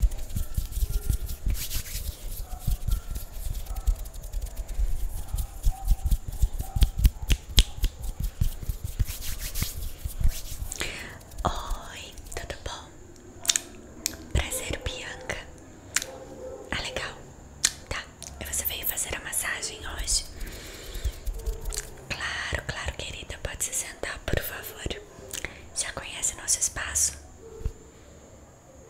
Oi, tudo bom? Prazer, Bianca. Ah, legal. Tá, você veio fazer a massagem hoje? Claro, claro, querida. Pode se sentar, por favor. Já conhece nosso espaço?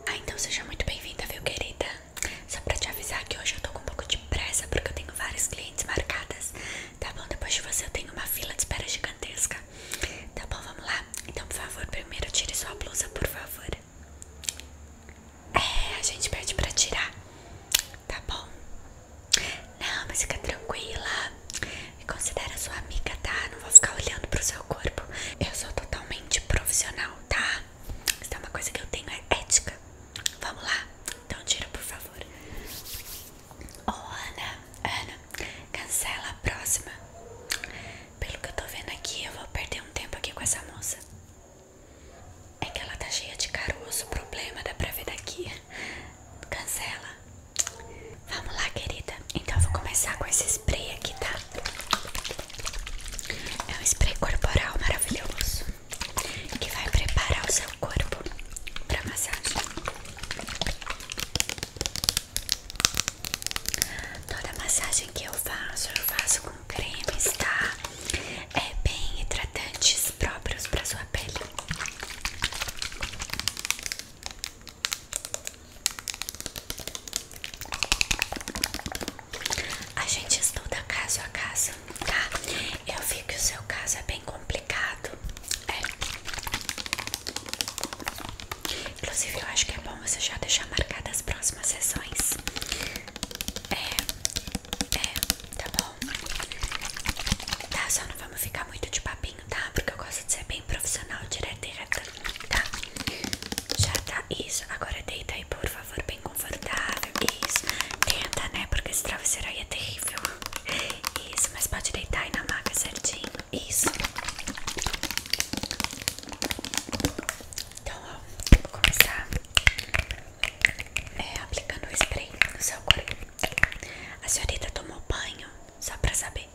Ah, então seja muito bem-vinda, viu, querida? Só pra te avisar que hoje eu tô com um pouco de pressa porque eu tenho vários clientes marcadas. Tá bom? Depois de você eu tenho uma fila de espera gigantesca. Tá bom, vamos lá? Então, por favor, primeiro tire sua blusa, por favor. É, a gente pede pra tirar. Tá bom? Não, mas fica tranquila. Me considera sua amiga, tá? Não vou ficar olhando pro seu corpo. Eu sou totalmente profissional, tá? Isso é uma coisa que eu tenho, é ética. Vamos lá? Então tira, por favor. Ô, oh, Ana, Ana, cancela a próxima. Pelo que eu tô vendo aqui, eu vou perder um tempo aqui com essa moça. É que ela tá cheia de caroço, problema dá pra ver daqui. Cancela. Vamos lá, querida. Então eu vou começar com esse spray aqui, tá? É um spray corporal maravilhoso que vai preparar o seu corpo para massagem. Toda massagem que eu faço, eu faço com cremes, tá? É bem hidratante, próprios para sua pele. A gente estuda caso a caso, tá? Eu vi que o seu caso é bem complicado. É. Inclusive, eu acho que é bom você já deixar marcadas as próximas sessões. É, é, tá bom. Tá, só não vamos ficar muito de papinho tá? Porque eu gosto de ser bem profissional, direto e reta, tá? Já tá isso. Agora deita aí, por favor, bem confortável. Isso. Tenta, né? Porque esse travesseiro aí é terrível. Isso, mas pode deitar aí na maca certinho. Isso. Então, ó, vou começar é, aplicando o spray no seu corpo. A senhorita tomou banho, só pra saber.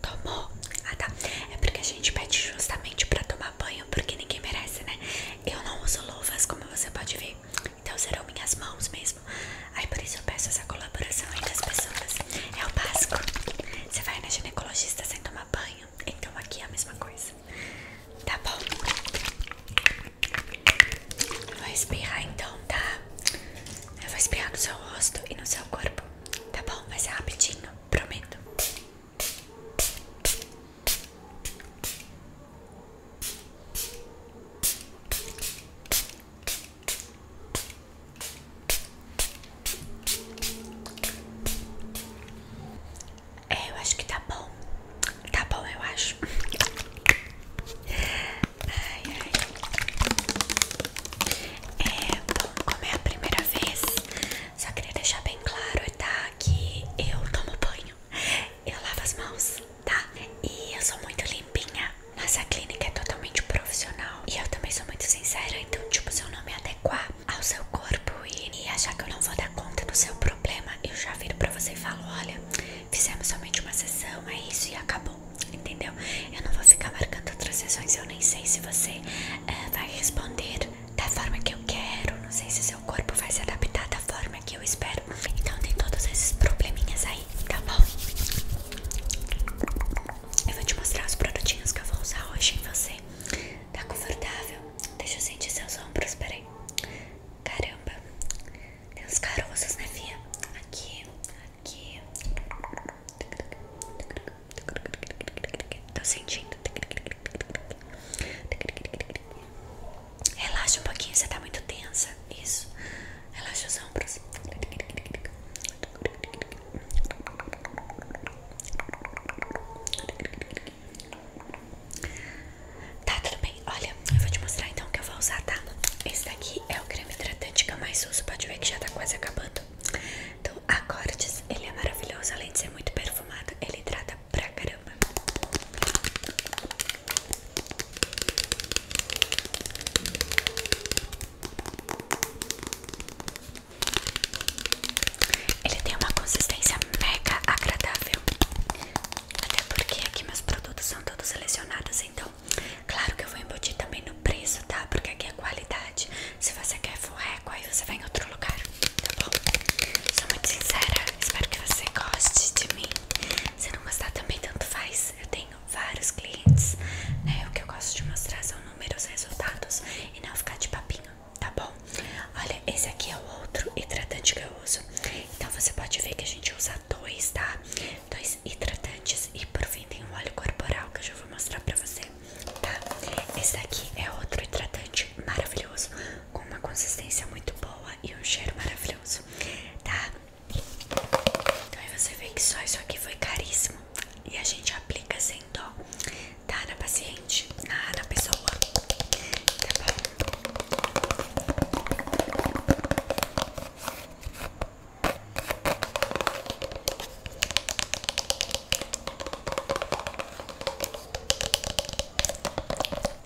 Tomou? Ah tá, é porque a gente pede justamente pra tomar banho Porque ninguém merece, né? Eu não uso luvas, como você pode ver Então serão minhas mãos mesmo Aí por isso eu peço essa colaboração aí das pessoas É o básico Você vai na ginecologista sem tomar banho Então aqui é a mesma coisa Tá bom? Eu vou espirrar então, tá? Eu vou espirrar no seu rosto e no seu corpo Tá bom, vai ser é rapidinho, prometo. É, eu acho que tá bom. Tá bom, eu acho. É, bom, como é a primeira vez, só queria deixar bem claro, tá? Que eu tomo banho, eu lavo as mãos, tá? E eu sou muito limpinha. Nossa clínica é totalmente profissional. E eu também sou muito sincera, então, tipo, se eu não me adequar ao seu corpo e, e achar que eu não vou dar conta do seu problema, eu já viro pra você e falo: olha, fizemos somente uma sessão, é isso e acabou entendeu? Eu não vou ficar marcando outras sessões, eu nem sei se você eh, vai responder da forma que eu quero, não sei se seu corpo vai se adaptar da forma que eu espero. Então tem todos esses probleminhas aí, tá bom? Eu vou te mostrar os produtinhos que eu vou usar hoje em você. Tá confortável? Deixa eu sentir seus ombros, peraí. Caramba, tem uns caroços, né, Fia? Aqui, aqui. Tô sentindo. Relaxa um pouquinho, você tá muito tensa. Isso. Relaxa os ombros. Tá, tudo bem. Olha, eu vou te mostrar então o que eu vou usar, tá? Esse daqui é o creme hidratante que eu mais uso. Pode ver que já tá quase acabando. Então a Cortes, ele é maravilhoso, além de ser muito perfumado, ele hidrata pra caramba. Ele tem uma consistência mega agradável. Até porque aqui meus produtos são todos selecionados, então claro que eu vou embutir também no preço, tá? Porque aqui é qualidade. Se você quer furreco, aí você vai em outro lugar, tá bom? Sou muito sincera, espero que você goste de mim. Se não gostar também, tanto faz. Eu tenho vários clientes, né? O que eu gosto de mostrar são números, resultados e não ficar de papinho, tá bom? Olha, esse aqui é o outro hidratante que eu uso. Então você pode ver que a gente usa dois, tá? Dois hidratantes e por fim tem um óleo corporal que eu já vou mostrar pra você tá? Esse daqui é outro hidratante maravilhoso, com uma consistência muito boa e um cheiro maravilhoso, tá? Então aí você vê que só isso aqui foi caríssimo e a gente aplica sem dó, tá? Na paciente, na, na pessoa, tá bom?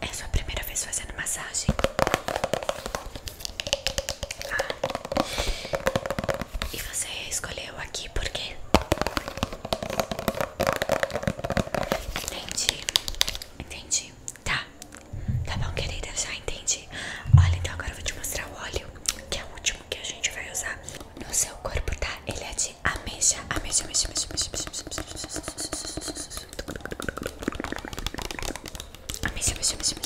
É sua primeira vez fazendo massagem? Ah. E você escolheu aqui porque Entendi, entendi. Tá, tá bom, querida, já entendi. Olha, então agora eu vou te mostrar o óleo, que é o último que a gente vai usar no seu corpo, tá? Ele é de ameixa, ameixa, ameixa, ameixa, ameixa, ameixa, ameixa, ameixa, ameixa,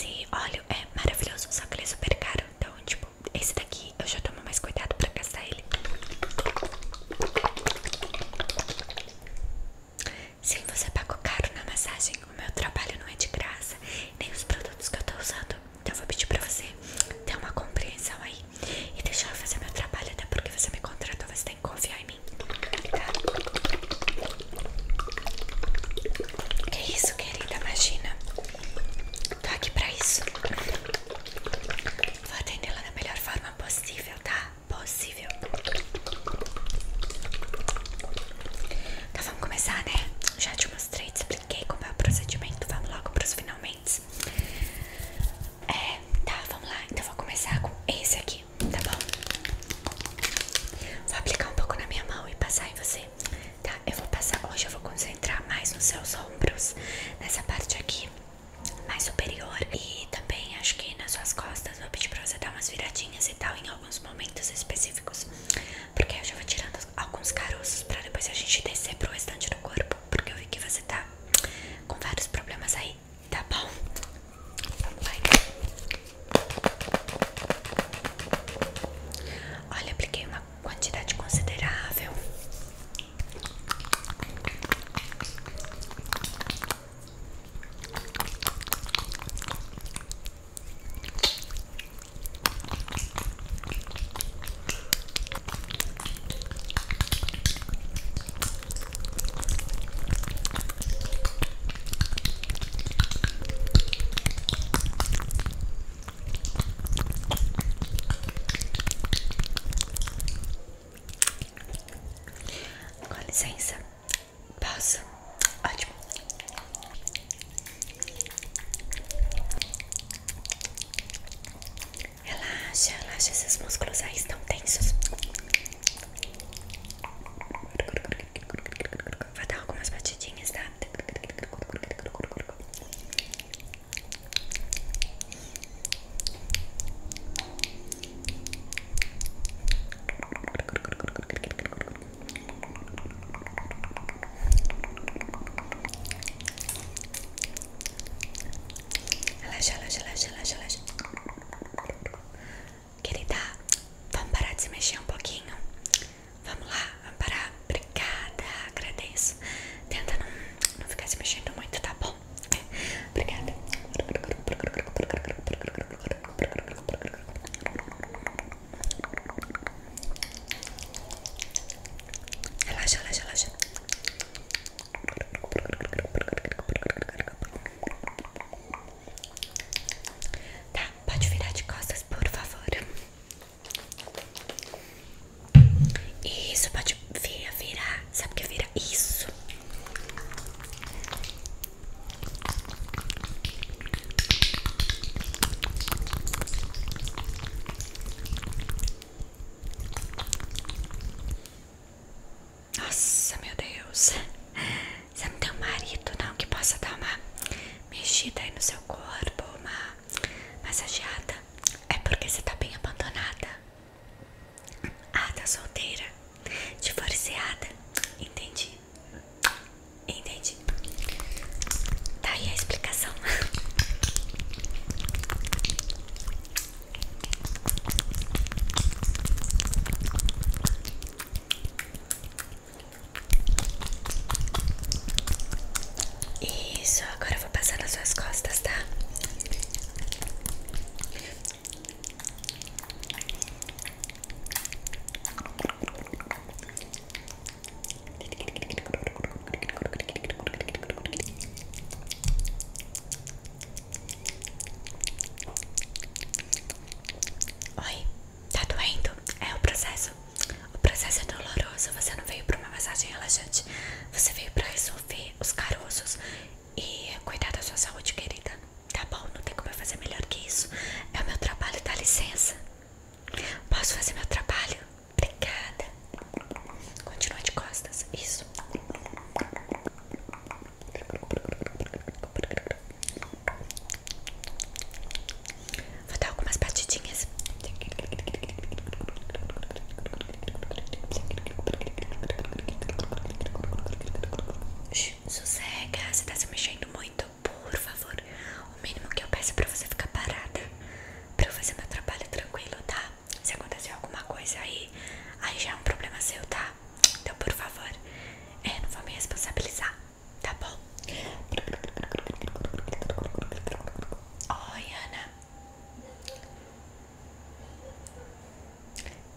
esse óleo é maravilhoso, só que ele é super caro então, tipo, esse daqui eu já tomo mais cuidado pra gastar ele. Sim, você pagou caro na massagem. O meu trabalho não é de graça, nem os produtos que eu tô usando. Então, eu vou pedir pra você ter uma compreensão aí e deixar eu fazer meu trabalho, até porque você me contratou, você tem que confiar em mim. Tá? Que isso, querida? Imagina. Tô tá aqui pra isso. Vou atendê-la da melhor forma possível, tá? Possível. Então vamos começar, né? Já te mostrei, te expliquei como é o procedimento. Vamos logo pros finalmente. É, tá, vamos lá. Então vou começar com esse aqui, tá bom? Vou aplicar um pouco na minha mão e passar em você tá? Eu vou passar hoje, eu vou concentrar mais nos seus ombros, nessa parte aqui, mais superior, e também acho que nas suas costas. Vou pedir pra você dar umas viradinhas e tal em alguns momentos específicos, porque eu já vou tirando alguns caroços pra depois a gente descer pro restante do corpo, porque eu vi que você tá com vários problemas aí, tá bom? Vamos lá então. Olha, apliquei uma quantidade considerável. Com licença, posso? Ótimo. Relaxa, relaxa, esses músculos aí estão tensos. Vou dar algumas batidinhas, tá? Relaxa, relaxa, relaxa, relaxa, relaxa. Querida, vamos parar de se mexer um pouquinho. Vamos lá, vamos parar. Obrigada, agradeço. Tenta não, não ficar se mexendo muito, tá bom? Obrigada. Relaxa, relaxa, relaxa. Tá, pode virar de costas, por favor. Isso, pode vir, virar. Sabe o que é vira? Isso. Nossa, meu Deus. Você não tem um marido, não, que possa dar uma mexida aí no seu corpo, uma massageada é porque você tá bem abandonada. Ah, tá solteira, divorciada. Entendi. Entendi. Tá aí a explicação. Isso, agora vou passar nas suas costas, tá? Oi, tá doendo? É o processo o processo é doloroso, você não veio pra uma massagem relaxante. Você veio pra resolver os caroços e cuidar da sua saúde, querida. Tá bom, não tem como eu fazer melhor que isso. É o meu trabalho, dá licença. Posso fazer meu trabalho? Obrigada. Continua de costas, isso. Vou dar algumas batidinhas. Sossega, você tá se mexendo muito. Por favor, o mínimo que eu peço é pra você ficar parada. Pra eu fazer meu trabalho tranquilo, tá? Se acontecer alguma coisa aí, aí já é um problema seu, tá? Então, por favor, é, não vou me responsabilizar, tá bom? Oi, Ana.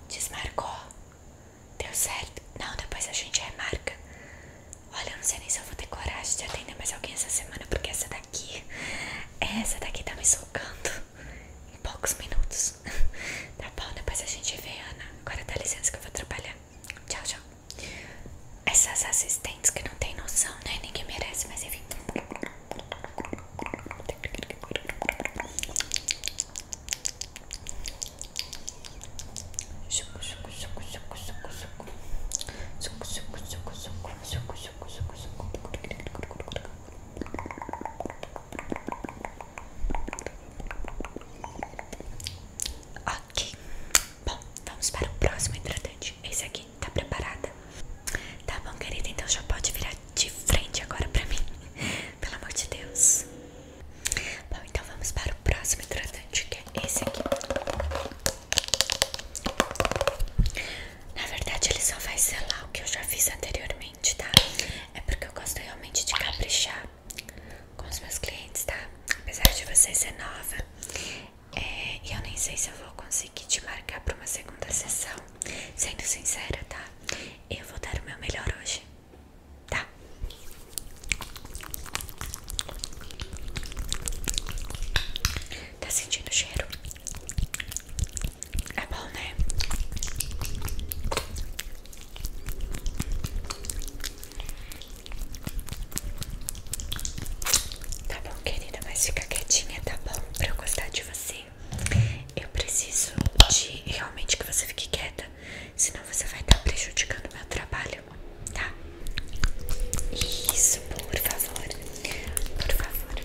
Desmarcou. Deu certo? Não, depois a gente remarca. Olha, eu não sei nem se eu vou ter coragem de atender mais alguém essa semana, porque essa daqui. Essa daqui tá me socando em poucos minutos. Tá bom, depois a gente vê, Ana. Agora dá licença que eu vou trabalhar. Tchau, tchau. Essas assistentes que não tem noção, né? Ninguém merece, mas enfim. Ok. Bom, vamos para o próximo hidratante. Esse aqui Tá preparada? Tá bom, querida, então já pode virar de frente agora pra mim Pelo amor de Deus Bom, então vamos para o próximo hidratante Que é esse aqui Na verdade ele só vai selar o que eu já fiz anteriormente, tá? É porque eu gosto realmente de caprichar com os meus clientes, tá? Apesar de você ser nova é, eu nem sei se eu vou conseguir te marcar para uma segunda sessão. Sendo sincera, tá? Eu vou dar o meu melhor hoje, tá? Tá sentindo o cheiro? É bom, né? Tá bom, querida, mas fica quietinha, tá bom? Pra eu gostar de você, eu preciso de realmente que você fique quieta, senão você vai estar tá prejudicando meu trabalho, tá? Isso, por favor, por favor.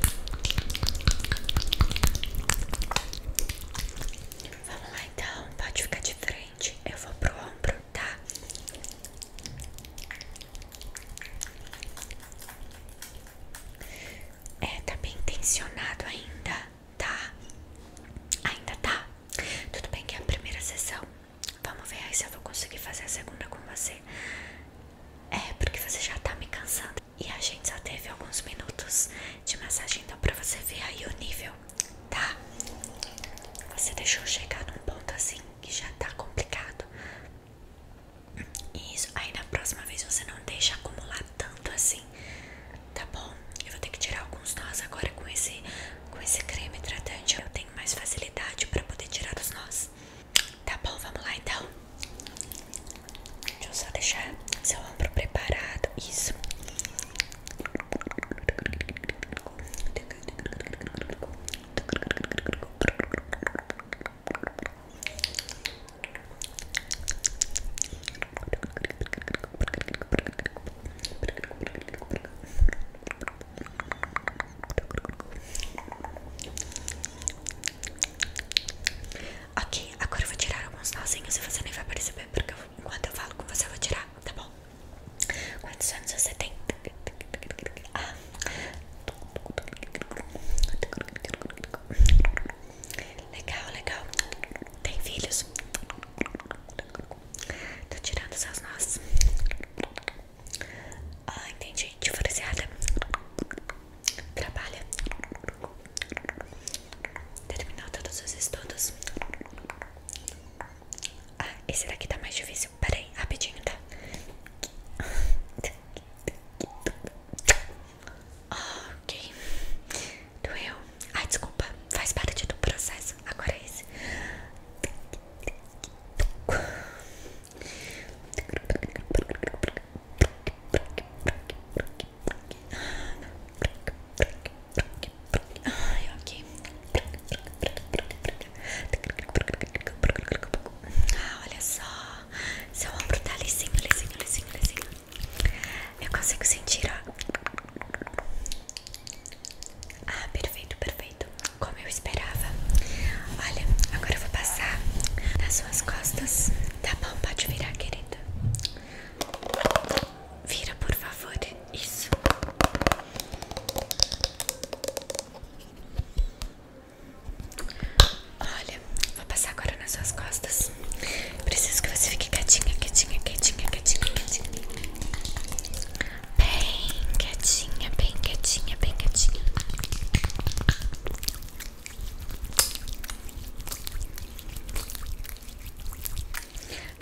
Vamos lá então, pode ficar de frente. Eu vou pro ombro tá? É, tá bem tensionado ainda, tá? Ainda tá? Tudo bem que é a primeira sessão. Vamos ver aí se eu vou conseguir fazer a segunda com você. É, porque você já tá me cansando. E a gente só teve alguns minutos de massagem, então pra você ver aí o nível, tá? Você deixou chegar num ponto assim que já tá complicado. Isso, aí na próxima vez você não deixa acumular tanto assim, tá bom? Eu vou ter que tirar alguns nós agora com esse, com esse creme hidratante. Eu tenho mais facilidade pra poder tirar os nós. Tá bom, vamos lá então. Deixa eu só deixar seu ombro preparado. Isso. Ok, agora eu vou tirar alguns nozinhos e você nem vai perceber porque eu, enquanto eu falo com você eu vou tirar, tá bom? Quantos anos você tem? Legal, legal. Tem filhos? Tô tirando seus nós. Ah, entendi. Diferenciada. Trabalha. Terminou todos os estudos. Ah, esse daqui tá mais difícil silêncio, peraí, rapidinho, tá? Ok, doeu. Ai, desculpa, faz parte do processo. Agora é esse. Ai, ok. Ah, olha só. Seu ombro tá lisinho, lisinho, lisinho, lisinho. Eu consigo sentir, ó. Ah, perfeito, perfeito. Como eu esperava. Olha, agora eu vou passar nas suas costas. Tá bom, pode virar, querida. Vira, por favor. Isso. Olha, vou passar agora nas suas costas. Preciso que você fique quietinha, quietinha, quietinha, quietinha, quietinha. Bem quietinha, bem quietinha, bem quietinha.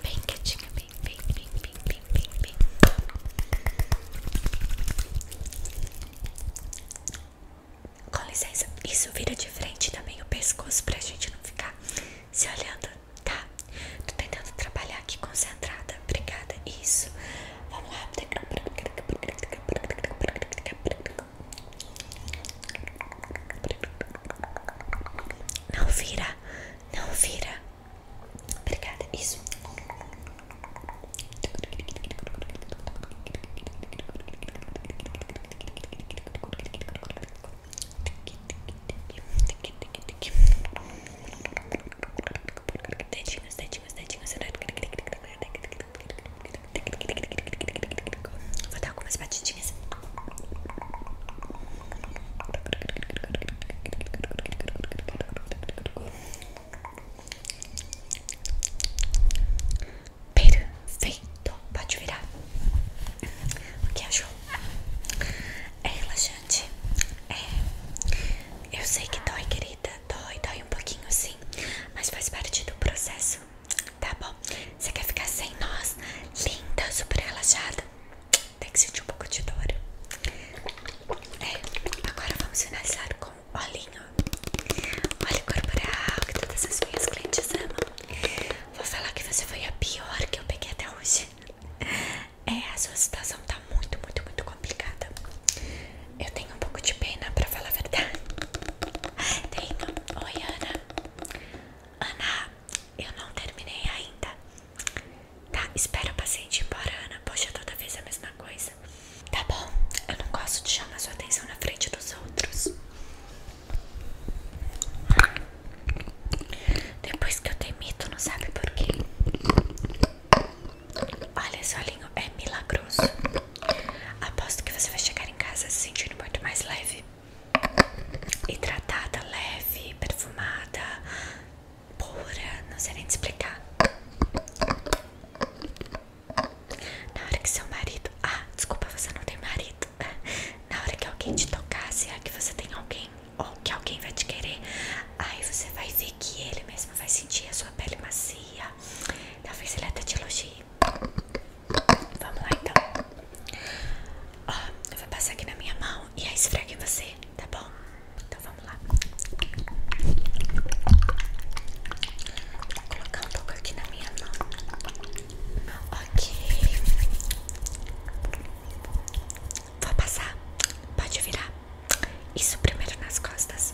Bem quietinha, bem, bem, bem, bem, bem, bem, com licença, isso vira de frente também o pescoço pra gente não ficar se olhando, tá? Tô tentando trabalhar aqui concentrada, obrigada. Isso, vamos lá. Não vira, não vira. Obrigada, isso. Dedinhos, dedinhos, dedinhos. Vou dar algumas batidinhas. Perfeito. Pode virar. O que achou? É relaxante. É. Eu sei que dói, querida. Dói, dói um pouquinho sim. Mas faz parte do processo. Tá bom? Você quer ficar sem nós? Linda, super relaxada. Tem que sentir um pouco de dor. É, agora vamos finalizar com com olhinho, óleo corporal que todas as minhas clientes amam. Vou falar que você foi a pior que eu peguei até hoje. É, a sua situação tá muito, muito, muito complicada. Eu tenho um pouco de pena pra falar a verdade. Tenho. Oi, Ana. Ana, eu não terminei ainda. Tá, espera o paciente ir embora, Ana. Poxa, toda vez a mesma coisa tá bom? Eu não gosto de chamar sua atenção na frente dos outros. Depois que eu demito, não sabe por quê. Olha, esse é milagroso. Aposto que você vai chegar em casa se sentindo muito mais leve. Hidratada, leve, perfumada, pura, não sei nem te explicar. Na hora que seu marido. Ah, desculpa, você não tem marido. Na hora que alguém te tocar, se é que você tem alguém ou que alguém vai te querer, aí você vai ver que ele mesmo vai sentir a sua pele macia. Talvez ele até te elogie. Vamos lá então. Ó, eu vou passar aqui na minha mão e aí esfrega em você, tá bom? Então vamos lá. Vou colocar um pouco aqui na minha mão. Ok. Vou passar. Pode virar. Isso primeiro nas costas.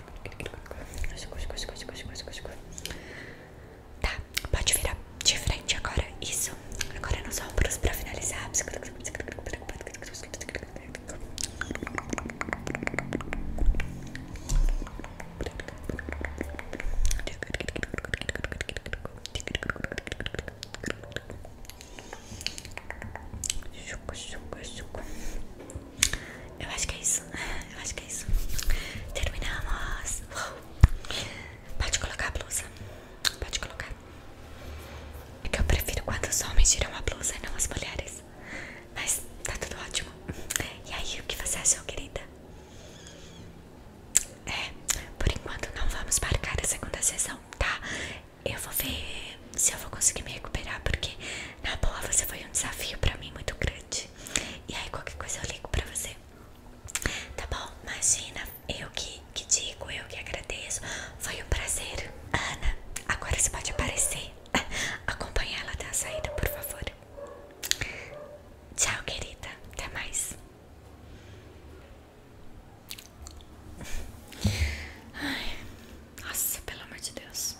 Tá, pode virar de frente agora. Isso. Agora nos ombros pra finalizar. Eu acho que é isso. Eu acho que é isso. Terminamos. Pode colocar a blusa. Pode colocar. É que eu prefiro quando os homens tiram a blusa e não as mulheres. Mas tá tudo ótimo. E aí, o que você achou, querida? É, por enquanto não vamos marcar a segunda sessão, tá? Eu vou ver se eu vou conseguir me recuperar, porque na boa você foi um desafio pra mim muito grande. E aí qualquer coisa eu ligo pra você. Tá bom? Imagina, eu que, que digo, eu que agradeço. Foi um prazer. Ana, agora você pode aparecer. Acompanha ela até a saída, por favor. Tchau, querida. Até mais. Ai, nossa, pelo amor de Deus.